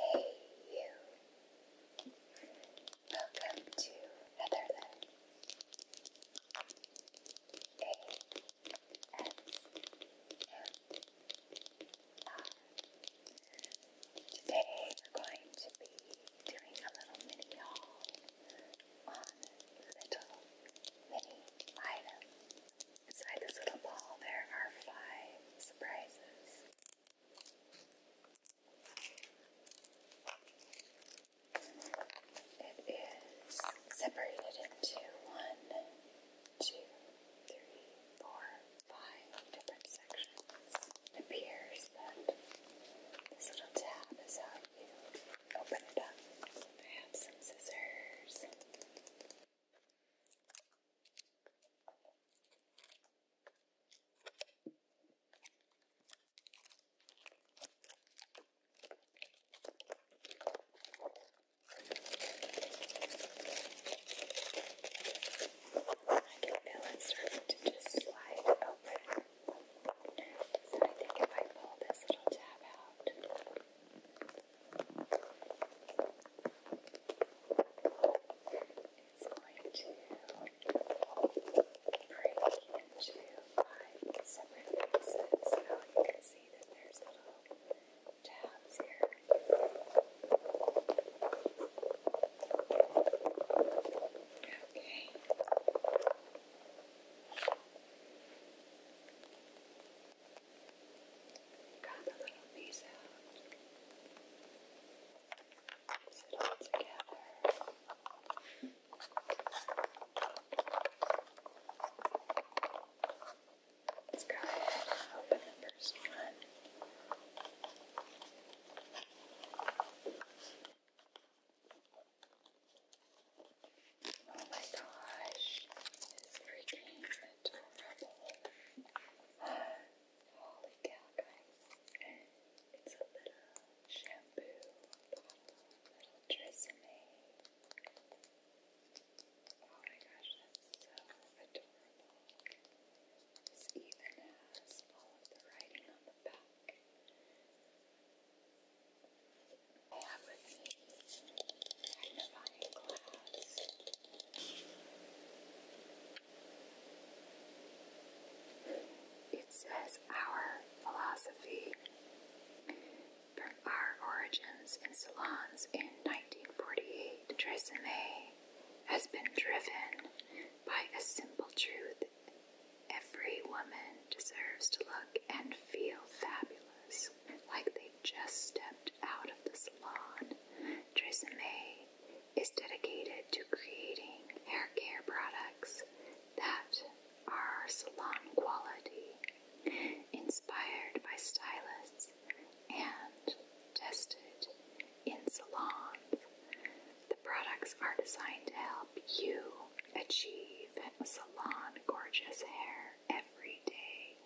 Hey you! Welcome to Netherlands. A S M R. Today we're going to be doing a little mini haul on little mini items. Inside this little ball, there are five surprises. It is separated into one, two, three, four, five different sections. It appears that this little tab is how you open it up. I have some scissors. I can feel it starting to just slide open. So I think if I pull this little tab out, it's going to break into five separate pieces. Now you can see that there's little tabs here. Okay. Grab a little piece out. it all together. Let's go ahead and open the first one. Oh my gosh, this freaking adorable. Holy cow, guys. It's a little shampoo bottle, little Tresemme. Oh my gosh, that's so adorable. This even has all of the writing on the back. I have with me it says our philosophy from our origins in salons in 1948. has been driven by a simple truth. Every woman deserves to look and feel fabulous, like they just stepped out of the salon. Tresemme is dedicated to creating hair care products that are salon quality, inspired by stylists and tested in salons. The products are designed to help you achieve salon gorgeous hair every day.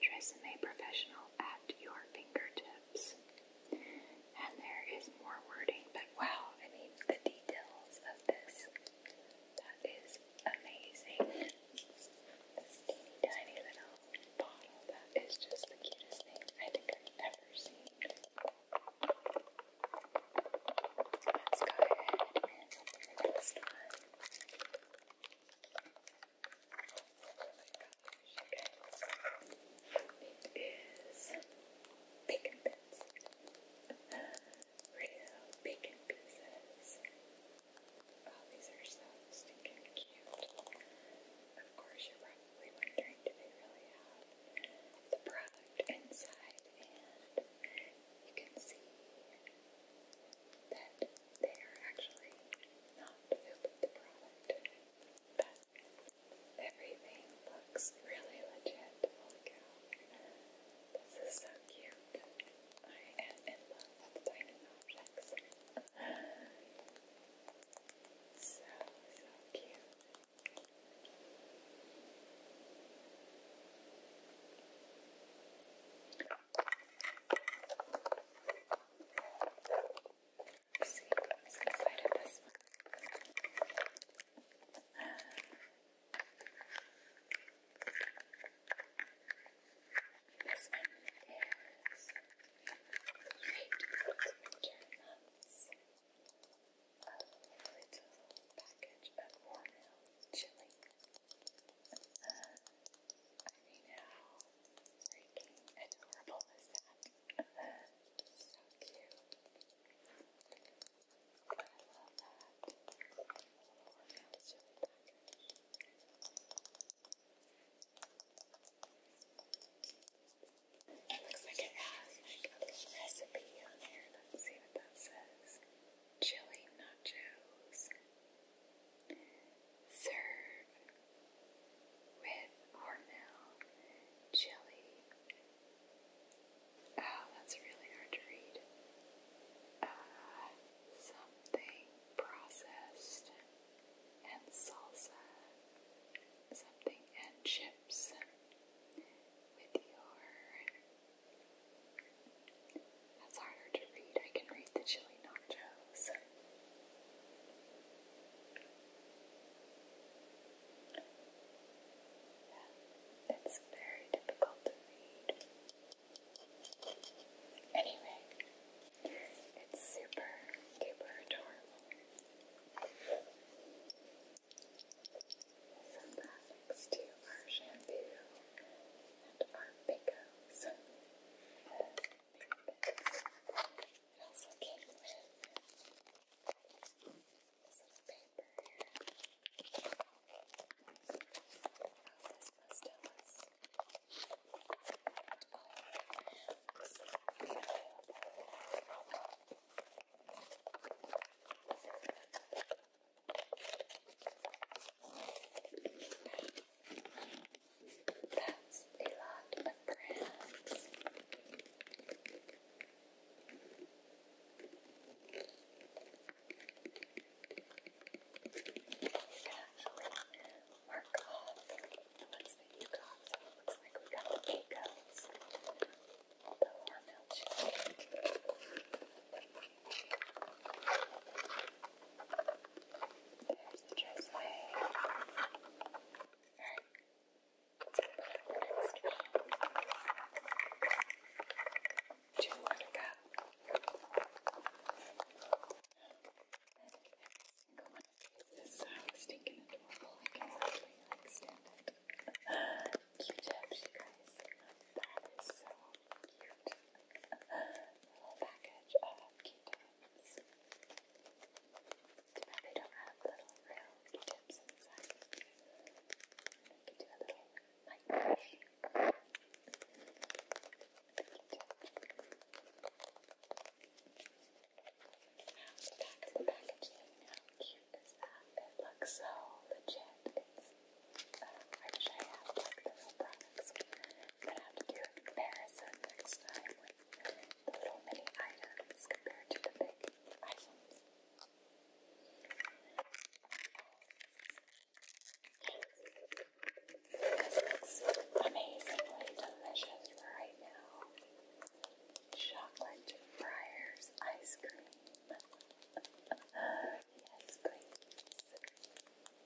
Dress a professional at your fingertips. And there is more wording, but wow, I mean, the details of this. That is amazing. This tiny little bottle, that is just the cutest thing I think I've ever seen. Let's go ahead and open the one. It is bacon bits. Real bacon pieces. these are so stinking cute. Of course, you're probably wondering do they really have the product inside? And you can see that they are actually not filled with but everything looks really legit. Holy cow. This is so cute. I am in love with tiny objects. So, so cute. Let's see what's inside of this one. This one is great months. A little package of warm milk chili I mean, how freaking adorable is that? so cute. I love that. It looks like it has like a little recipe on here. Let's see what that says. Chili nachos. Serve with cornmeal chili. Oh, that's really hard to read. Uh, something processed and salsa. Something and chips with your that's harder to read. I can read the chili nachos. Yeah, it's very difficult to read. Anyway, it's super duper adorable. So that to our shampoo and our makeup some pigments. It also came with this little paper here. Oh, this must tell us all brands available. Let's see. That's a lot of brands. You can actually mark off the ones that you got, so it looks like we got the egos. Although our milkshake. There's the dressway. Look, it's a little to me. Do you Single one of these is so stinking adorable. I can hardly understand it. Cute, you guys. That is so cute a whole package of Q-tips. Too bad they don't have little real Q-tips inside. We could do a little mic brush. Now the back of the package thing, how cute is that? It looks so legit. It's I wish I had like the real products. I'm going have to do a comparison next time with the little mini items compared to the big items. This looks amazingly delicious right now. Chocolate fryers ice cream. yes, please.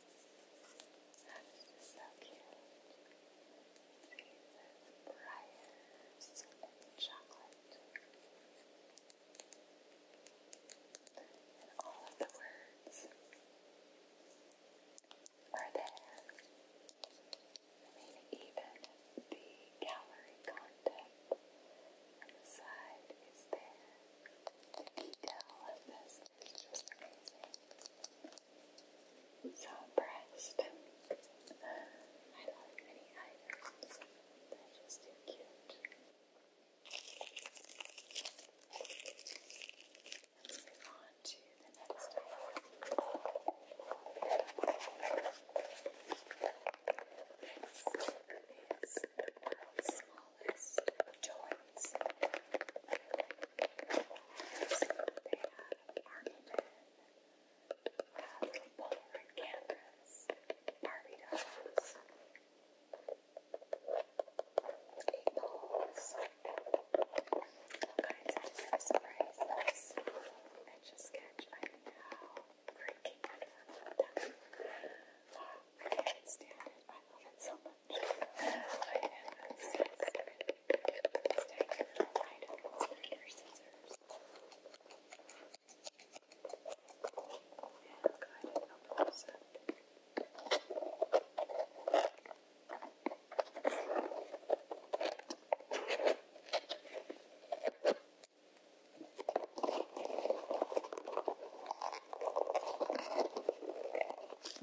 This is so cute. See, it says Briars Chocolate. And all of the words are there. I mean, even the gallery content on is there. The detail of this is just amazing. I'm so impressed. I love mini They're just cute. Let's move on to the next item. This is the world's smallest toy ones. They had Armageddon, uh, little Polaroid cameras, Barbie dolls, eight balls, all kinds I just catch, not I know that. Uh, I can't stand it. I love it so I have several items for your scissors. And go ahead and open those up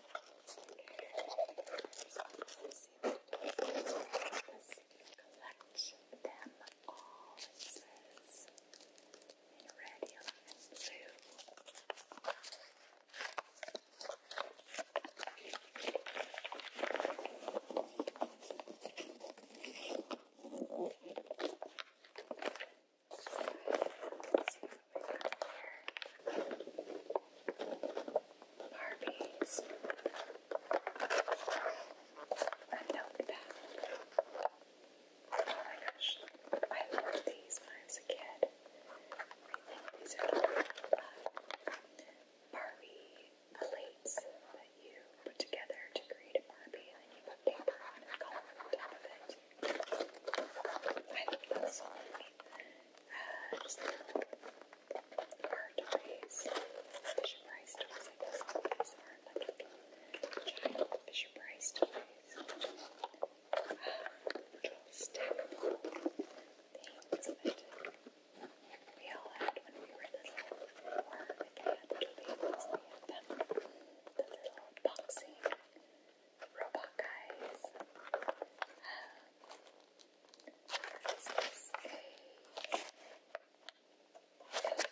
collect them all, it says, in red, yellow, and blue. Let's see Barbies. I'm that. Oh my I loved these when I was a kid. these are Barbie plates that you put together to create a Barbie and then you put paper and color on top of it. I think that's all I need. toys. Fisher Price toys. Fisher Price toys. little stackable things that we all had when we were little, The little boxing robot guys. electronics,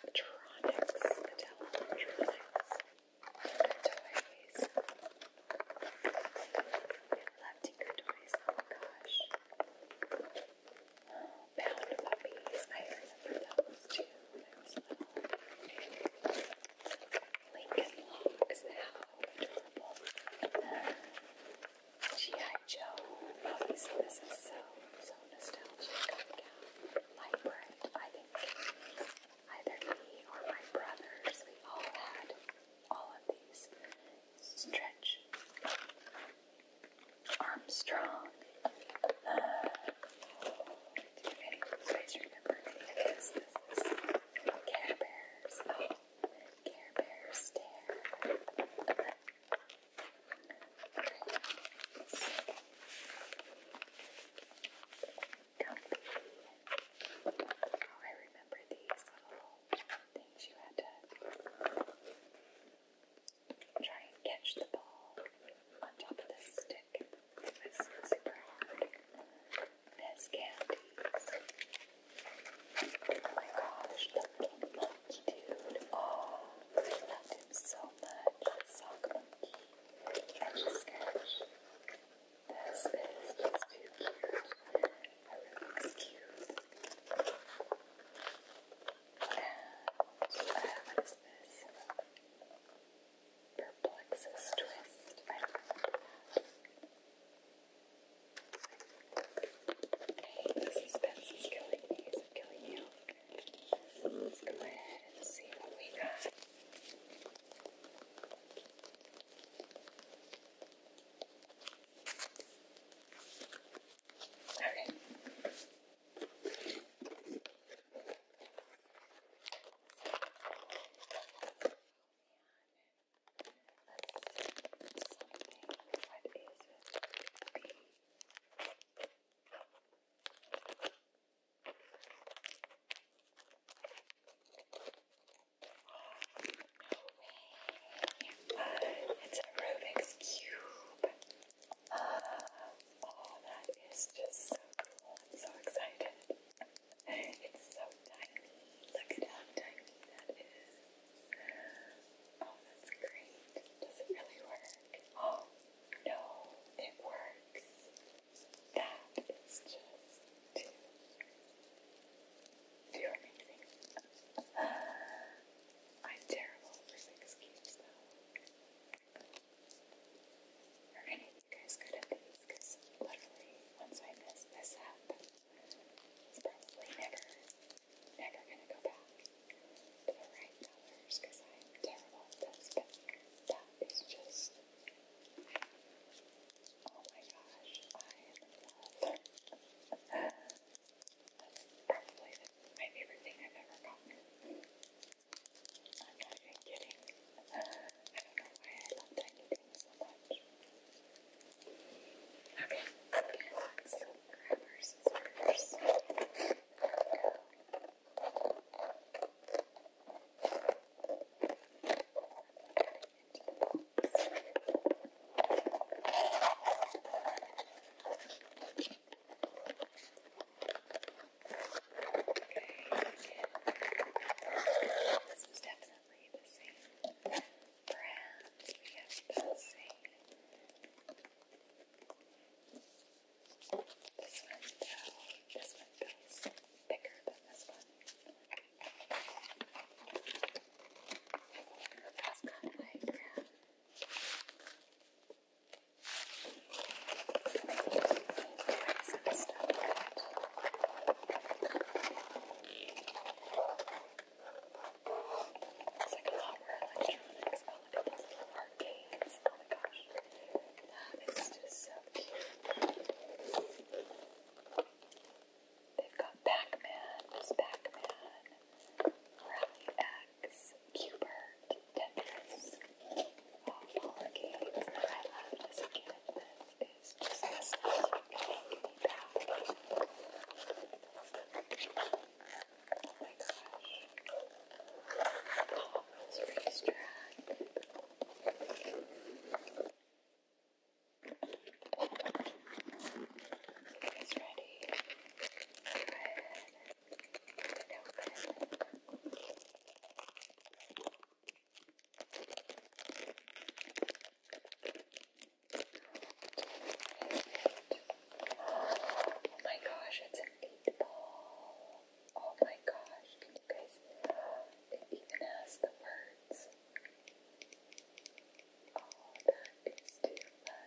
Mattel electronics toys. I Toys, oh my gosh. Bound Puppies, I remember those too like, is G.I. Uh, Joe This is so, so nostalgic. My birth, I think either me or my brothers, we all had all of these stretch Armstrong. Uh, do you remember any of this? Care Bears. Oh, Care Bear stare. Oh, I remember these little things you had to try and catch the ball on top of this stick. This is super hard. Candies. Oh my gosh, the pink monkey Oh, I loved him so much. Sock monkey. Edge sketch. This is just too cute. I really looks cute. And uh, what is this? Perplexus twist. I remember that. Okay, the suspense is killing me. Is it killing you? Let's go ahead and see what we got. Okay let something. What is this? it's a Rubik's Cube. oh, that is just so cool. I'm so excited. It's so tiny. Look at how tiny that is. Oh, that's great. Does it really work? Oh, no, it works. That is just too, too amazing. I'm terrible for six though. Are any of you guys good at these? because literally once I mess this up, it's probably never, never gonna go back to colors because I'm terrible at this, but that is just, oh my gosh, I love. That's probably my favorite thing I've ever gotten. I'm not even kidding. I don't know why I love tiny things so much. Okay, and so grabbers, scissors. There we go. Okay, Okay. This is definitely the same brand. We have the same. This one though, this one feels thicker than this one. That's kind of like yeah. It's like a lot more electronics, Oh my gosh. That is just so cute. They've got Pac-Man, Pac-Man, Rally X, Cubert, Tetris. Ballpark games that I loved as a kid that is just nostalgic and making me back. Oh my gosh. Palmer's Race Track. It's ready. Go ahead. Get it open. It's Oh my gosh, it's a meatball. Oh my gosh, you guys? It even has the words. Oh, that is too fun.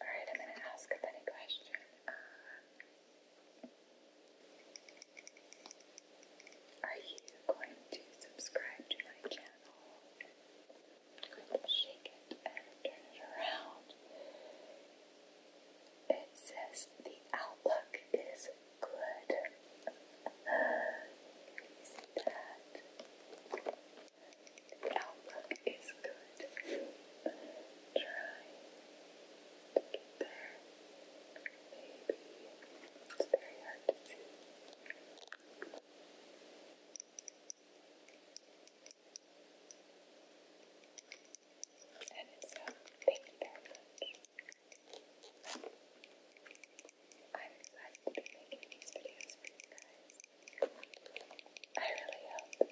Alright, I'm going to ask a funny question. Uh, are you going to subscribe to my channel? shake it and turn it around. It says the outlook is good. Uh, that? The is good. Try to get there. Maybe it's very hard to see. And so, um, thank you very much. I'm excited to be making these videos for you guys. I really hope that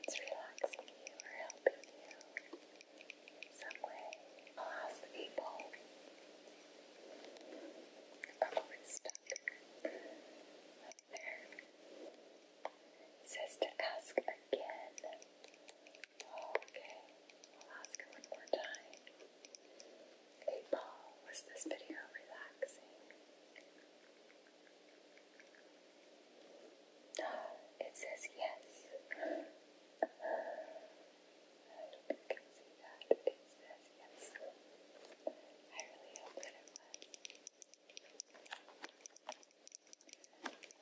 it's relaxing you or helping you some way. I'll ask the people I'm there. says to ask again. okay. I'll ask one more time. Eight was this video relaxing? it says yes. I don't think you can see that. It says yes. I really hope that it was.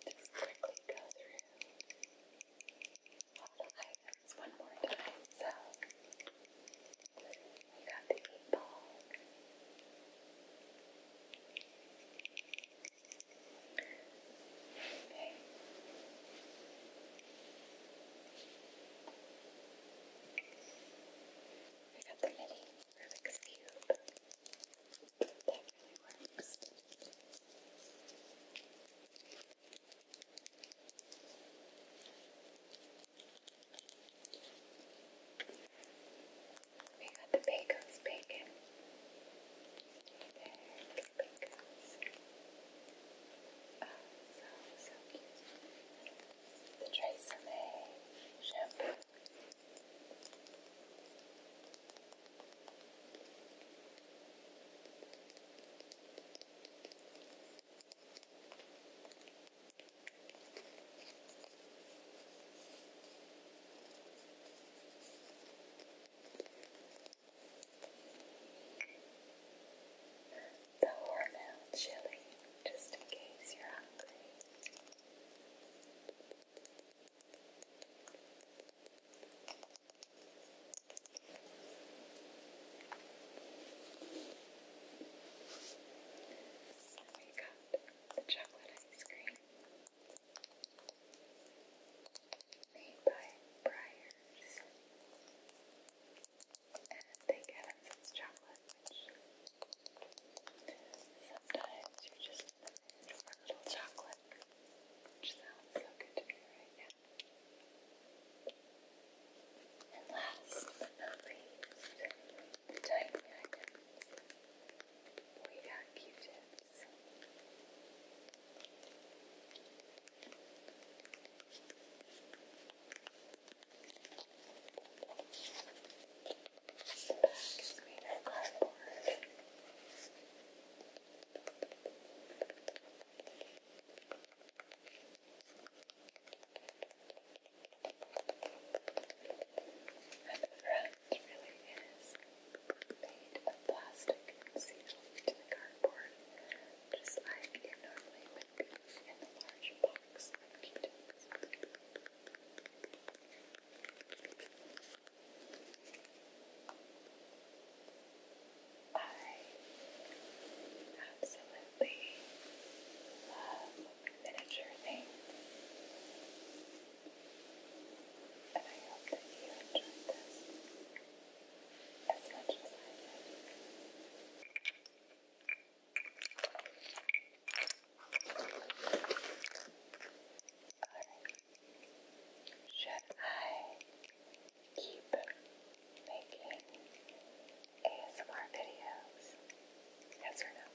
Just quickly go through just one more time. So, you got the eight ball. Okay. I got the mini Rubik's Cube. That really works. We got the Pecos bacon. There's the Pecos. Oh, so, so cute. The Tresemme shampoo. The hormel chili, just in case you're hungry. So we got the chocolate ice cream made by Briars. they get us chocolate, sometimes you just in a little chocolate, which sounds so good to me right now. And last but not least, the tiny magnet. We got Q-tips. The back of cardboard. And the front really is made of plastic and sealed to cardboard, just like it normally would be in the large I absolutely love miniature things, and I hope that you enjoyed this as much as I did. should I keep making ASMR videos? Yes or no?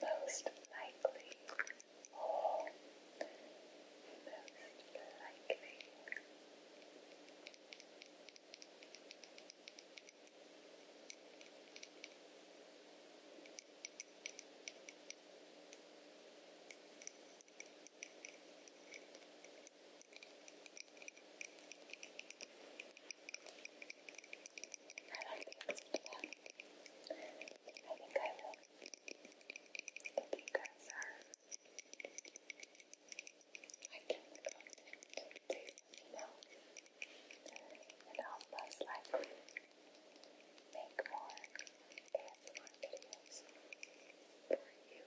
Most likely, oh, most likely, I like the answer to that. I think I will. If you guys are liking the content, you know, and help us like make more ASMR videos for you.